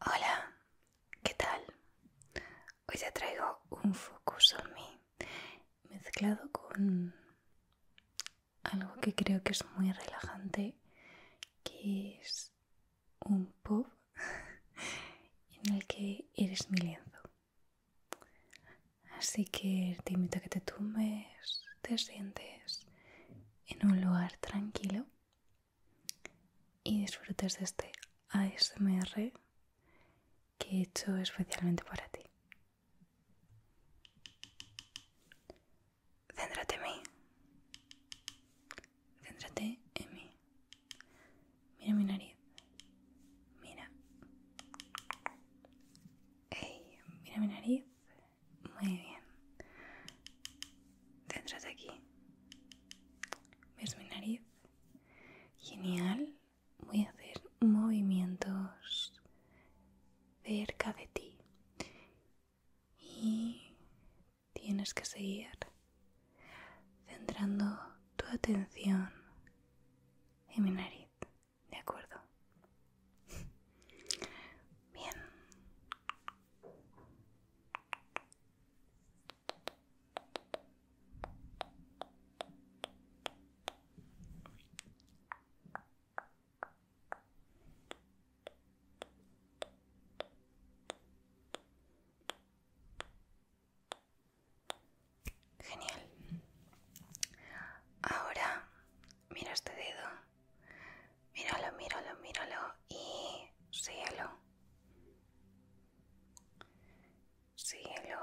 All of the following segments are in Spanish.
Hola, ¿qué tal? Hoy te traigo un Focus on mí mezclado con algo que creo que es muy relajante, que es un pub en el que eres mi lienzo. Así que te invito a que te tumbes, te sientes en un lugar tranquilo y disfrutes de este ASMR que he hecho especialmente para ti. Céntrate en mí. Céntrate en mí. Mira mi nariz. Mira. Hey, mira mi nariz. Muy bien dentro de aquí. ¿Ves mi nariz? Genial. Voy a hacer movimientos cerca de ti. Y tienes que seguir centrando tu atención en mi nariz. ¿De acuerdo? Bien. Genial. Ahora mira este dedo Míralo, míralo, míralo y cielo. Cielo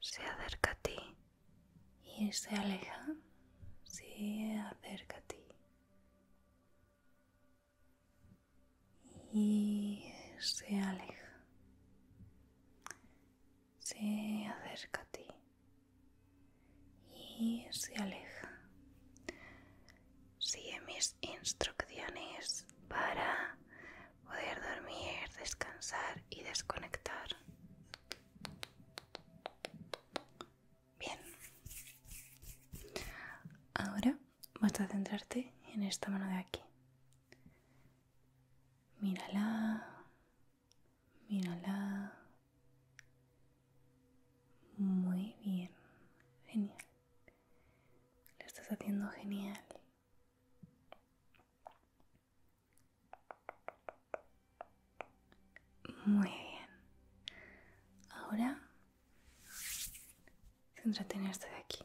Se acerca a ti y se aleja. Se acerca a ti. Y se aleja. Se acerca a ti y se aleja. Sigue mis instrucciones para poder dormir, descansar y desconectar. Bien. Ahora vas a centrarte en esta mano de aquí. Mírala, mírala, muy bien, genial. Lo estás haciendo genial. Muy bien. Ahora, céntrate en este de aquí.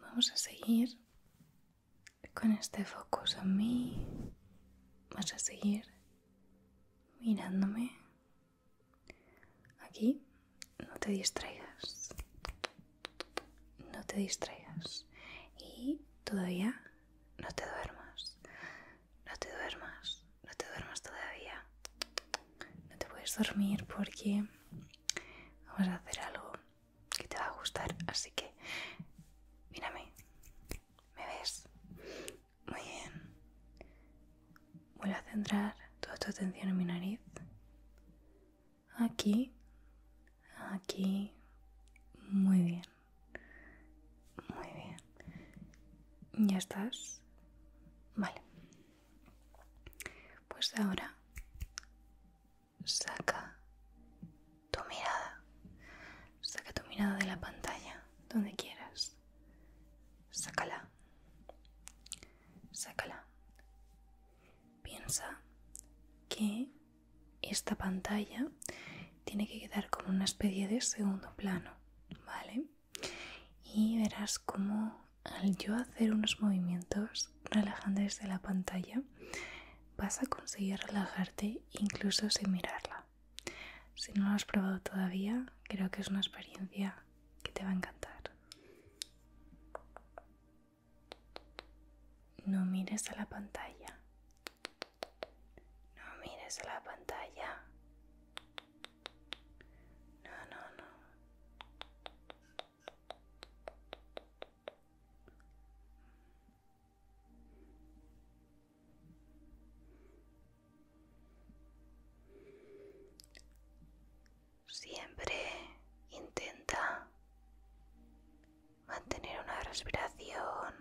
Vamos a seguir con este focus en mí. Vas a seguir mirándome. Aquí no te distraigas. No te distraigas. Y todavía no te duermas. No te duermas. No te duermas todavía no te puedes dormir porque vamos a hacer algo que te va a gustar. Así que, mírame, ¿me ves? Muy bien. Voy a centrar toda tu atención en mi nariz. Aquí, aquí, muy bien. Muy bien. ¿Ya estás? Vale. Pues ahora saca tu mirada, saca tu mirada de la pantalla, donde quieras. Sácala, sácala. Piensa que esta pantalla tiene que quedar como una especie de segundo plano, ¿vale? y verás cómo al yo hacer unos movimientos relajantes de la pantalla vas a conseguir relajarte incluso sin mirarla. Si no lo has probado todavía, creo que es una experiencia que te va a encantar. No mires a la pantalla. No mires a la pantalla. No, no, no. Siempre intenta mantener una respiración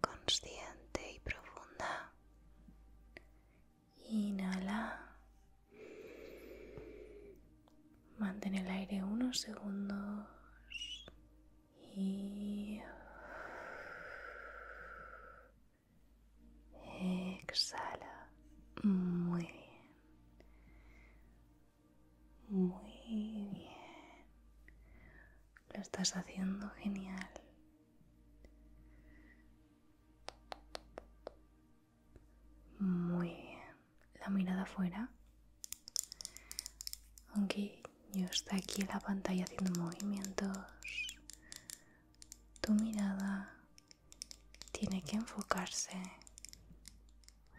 consciente y profunda Inhala. Mantén el aire unos segundos. Y exhala. Muy bien. Muy bien. Lo estás haciendo genial. Muy bien. La mirada fuera. Aunque yo está aquí en la pantalla haciendo movimientos, tu mirada tiene que enfocarse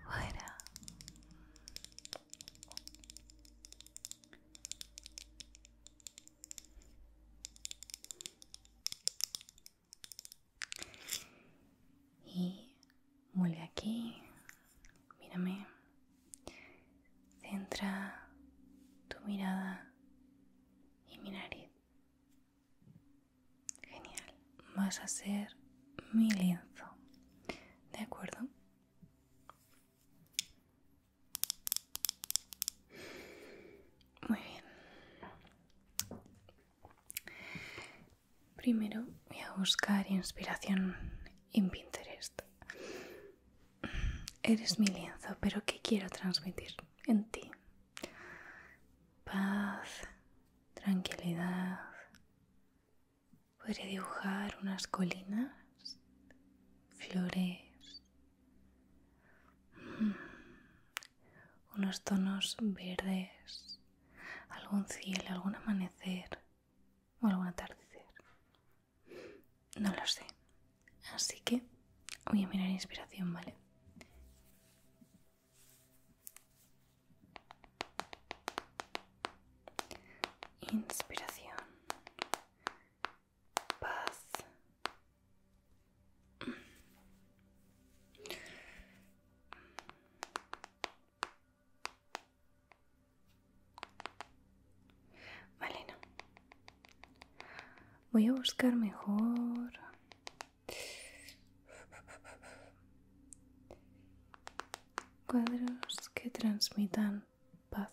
fuera. Y vuelve aquí, mírame, centra tu mirada y mi nariz. Genial, vas a ser mi lienzo, ¿de acuerdo? Muy bien. Primero voy a buscar inspiración en Pinterest. Eres mi lienzo, pero ¿qué quiero transmitir en ti? Paz, tranquilidad. Podría dibujar unas colinas, flores, Mm. unos tonos verdes, algún cielo, algún amanecer o algún atardecer. No lo sé. Así que voy a mirar inspiración, ¿vale? Inspiración paz. Vale, Voy a buscar mejor. Cuadros que transmitan paz.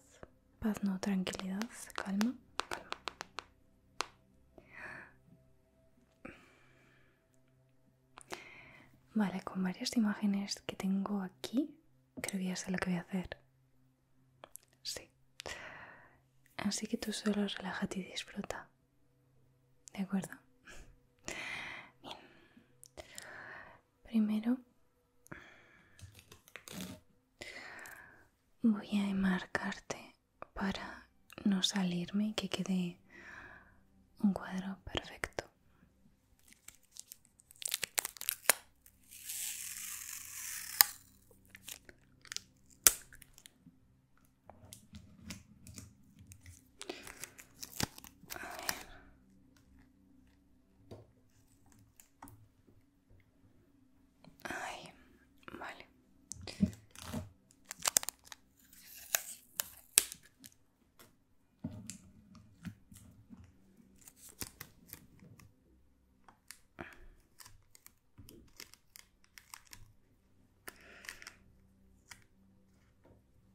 Paz, no, tranquilidad, calma, calma. Vale, con varias imágenes que tengo aquí, creo que ya sé lo que voy a hacer. Sí. Así que tú solo relájate y disfruta. ¿De acuerdo? Primero voy a enmarcarte para no salirme y que quede un cuadro perfecto. Ay, vale.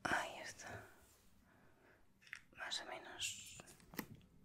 Ahí está. Más o menos.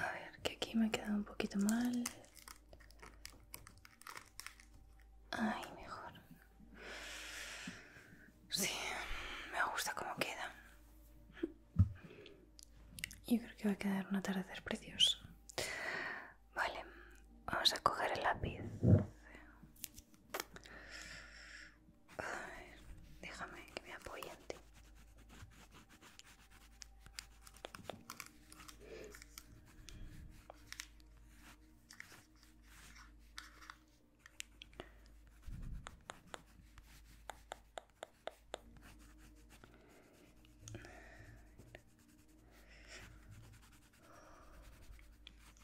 A ver, que aquí me ha quedado un poquito mal. Ay, mejor. Sí, me gusta cómo queda. Yo creo que va a quedar un atardecer precioso. Vale, vamos a coger el lápiz. A ver, déjame que me apoye en ti.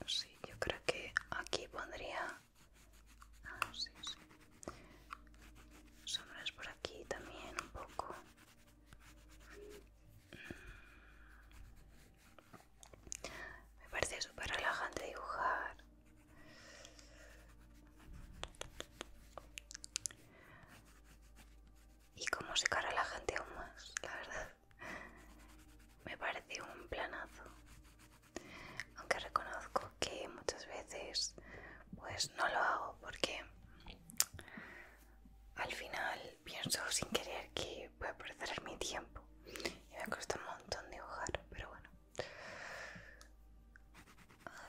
Sí, yo creo que aquí pondría... Ah, Sombras por aquí también un poco. Mm. Me parece súper relajante dibujar. Y como se cara la gente aún más, la verdad. me parece un planazo aunque reconozco que muchas veces pues no lo hago porque al final pienso sin querer que voy a perder mi tiempo y me cuesta un montón dibujar pero bueno a ver.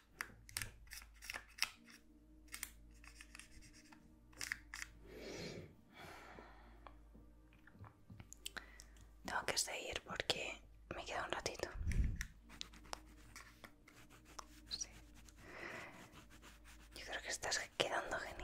Tengo que seguir porque me queda un ratito. Yo creo que estás quedando genial.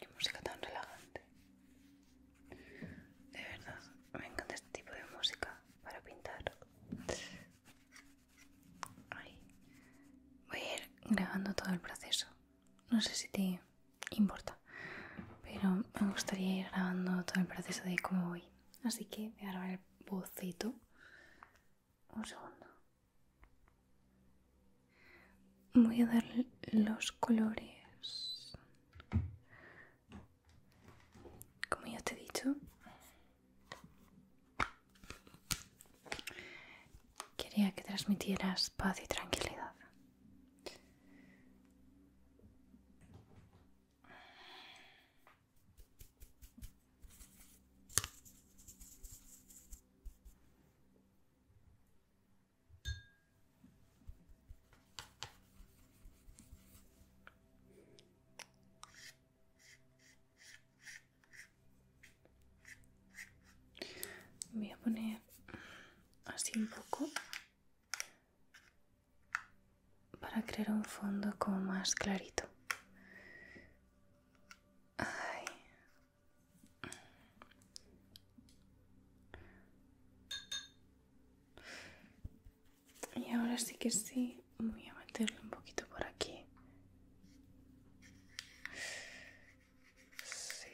Qué música tan relajante. De verdad, me encanta este tipo de música para pintar. Voy a ir grabando todo el proceso. No sé si te importa pero me gustaría ir grabando todo el proceso de cómo voy. Así que voy a grabar el boceto. Un segundo. Voy a dar los colores. Como ya te he dicho, quería que transmitieras paz y tranquilidad. Voy a poner así un poco para crear un fondo como más clarito. Y ahora sí que sí, voy a meterle un poquito por aquí. Sí.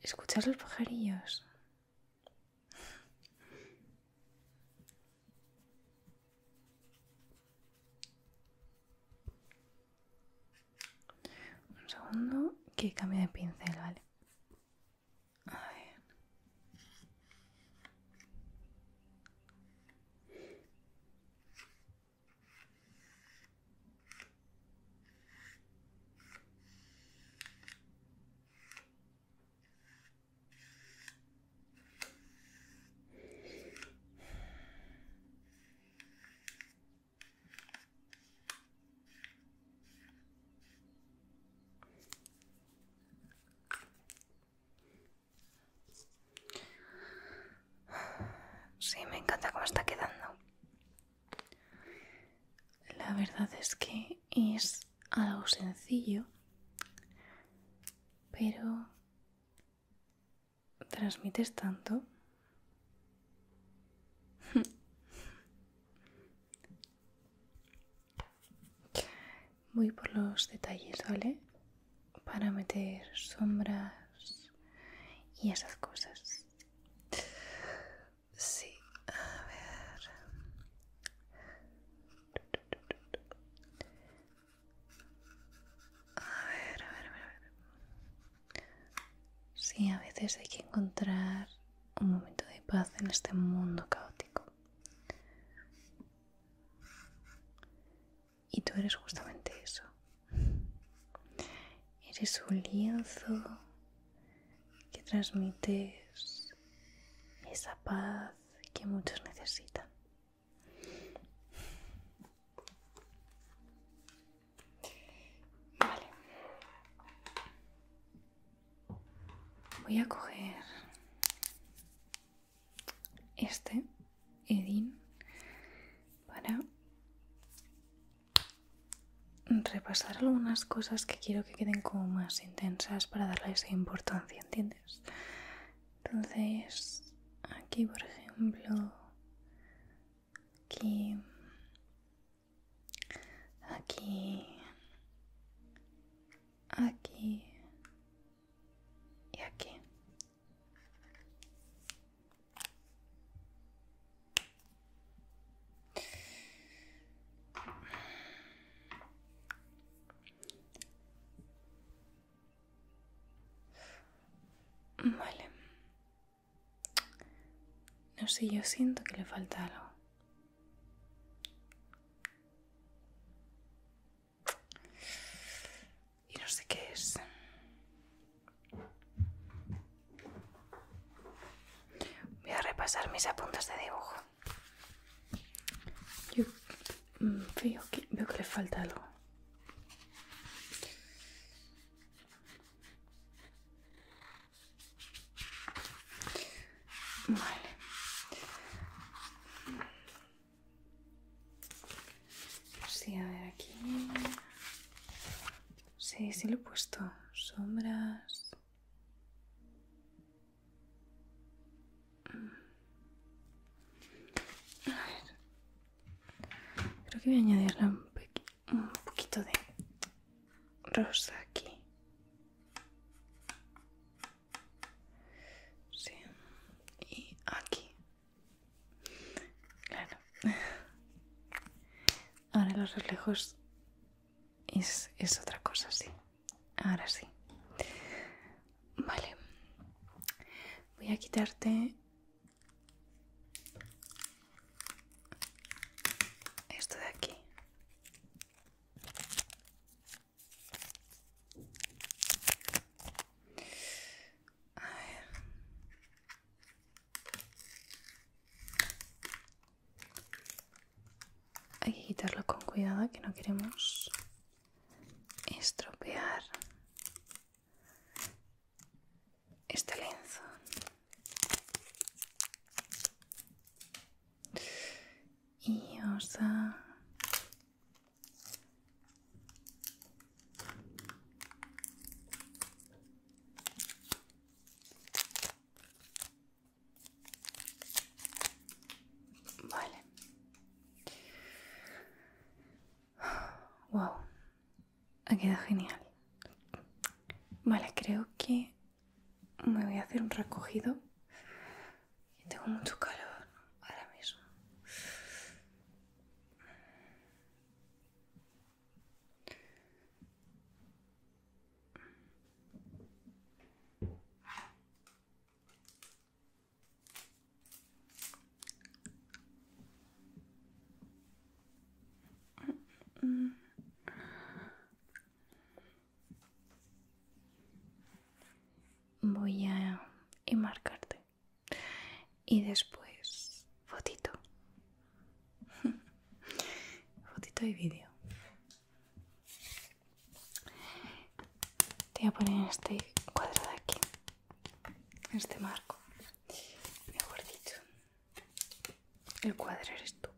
Escuchar los pajarillos? Un segundo que cambia de pincel, ¿vale? Sí, me encanta cómo está quedando. La verdad es que es algo sencillo, pero transmites tanto Voy por los detalles, ¿vale? Para meter sombras y esas cosas. Sí, a ver. A ver, a ver, a ver. Sí, a veces hay que encontrar un momento de paz en este mundo caótico. Y tú eres justamente eso. Eres un lienzo que transmites esa paz que muchos necesitan. Vale. Voy a coger este Edin para repasar algunas cosas que quiero que queden como más intensas para darle esa importancia, ¿entiendes? Entonces, aquí por ejemplo, aquí aquí, aquí y aquí. Vale. No sé, yo siento que le falta algo. Y no sé qué es. Voy a repasar mis apuntes de dibujo. Yo mm, veo que, le falta algo. Vale. Sí, a ver aquí. Sí, sí lo he puesto. Sombras. Mm. Creo que voy a añadirla un pequeño un poquito de rosa aquí y aquí claro ahora los reflejos es, es otra cosa sí ahora sí vale voy a quitarte esto de aquí. Hay que quitarlo con cuidado que no queremos estropear este lenzo y osa Vale. Wow. Ha quedado genial. Vale, creo que me voy a hacer un recogido. tengo mucho calor ahora mismo. Voy a enmarcarte. Y después, fotito. fotito y vídeo. Te voy a poner este cuadrado aquí. este marco. Mejor dicho. El cuadro eres tú.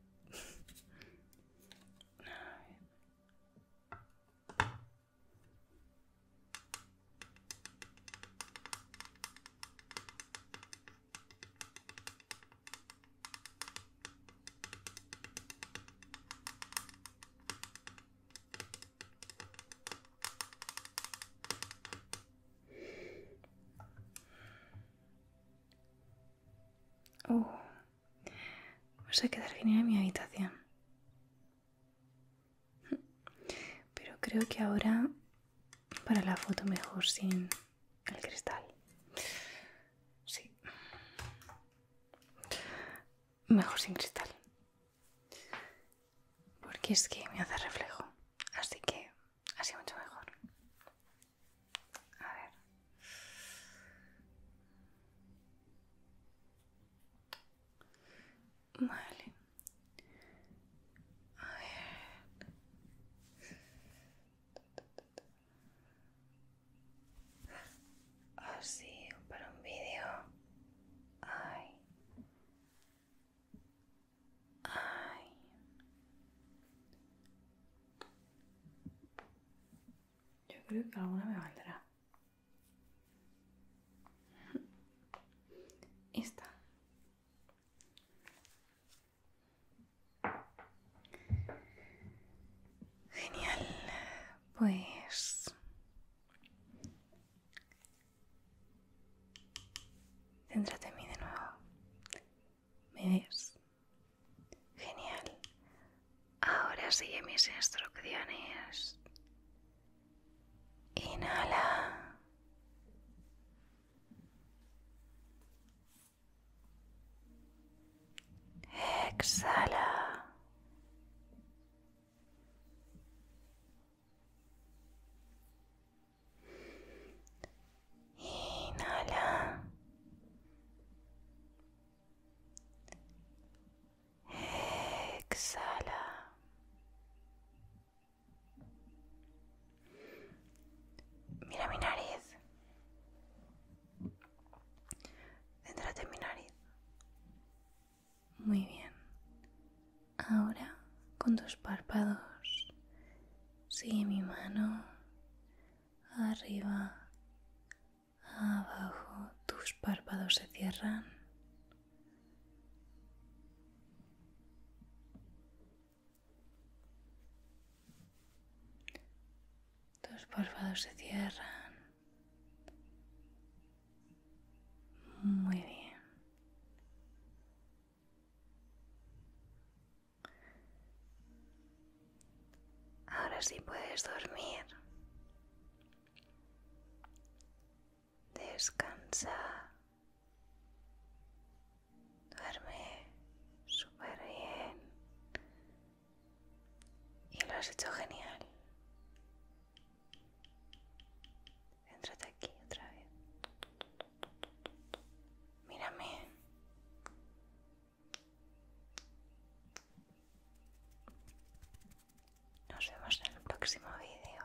Oh. Voy a quedar bien en mi habitación. Pero creo que ahora para la foto mejor sin el cristal. Sí. Mejor sin cristal porque es que me hace reflejo, así que así mucho mejor. A ver. Vale. Así, ah, para un vídeo. Ay. Yo creo que alguna me valdrá. Esta. Genial. Pues Céntrate en mí de nuevo. ¿Me ves? Genial. Ahora sigue mis instrucciones. Inhala. Exhala. Inhala. Exhala. Mira mi nariz. dentro de mi nariz. Muy bien. Ahora con tus párpados sigue mi mano arriba, abajo, tus párpados se cierran. Tus párpados se cierran. Muy bien. Ahora sí puedes dormir. Descansa. Duerme super bien. Y lo has hecho genial. Entrate aquí otra vez. Mírame. Nos vemos en el próximo vídeo.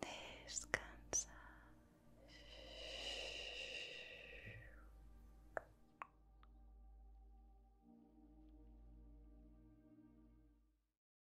Descansa.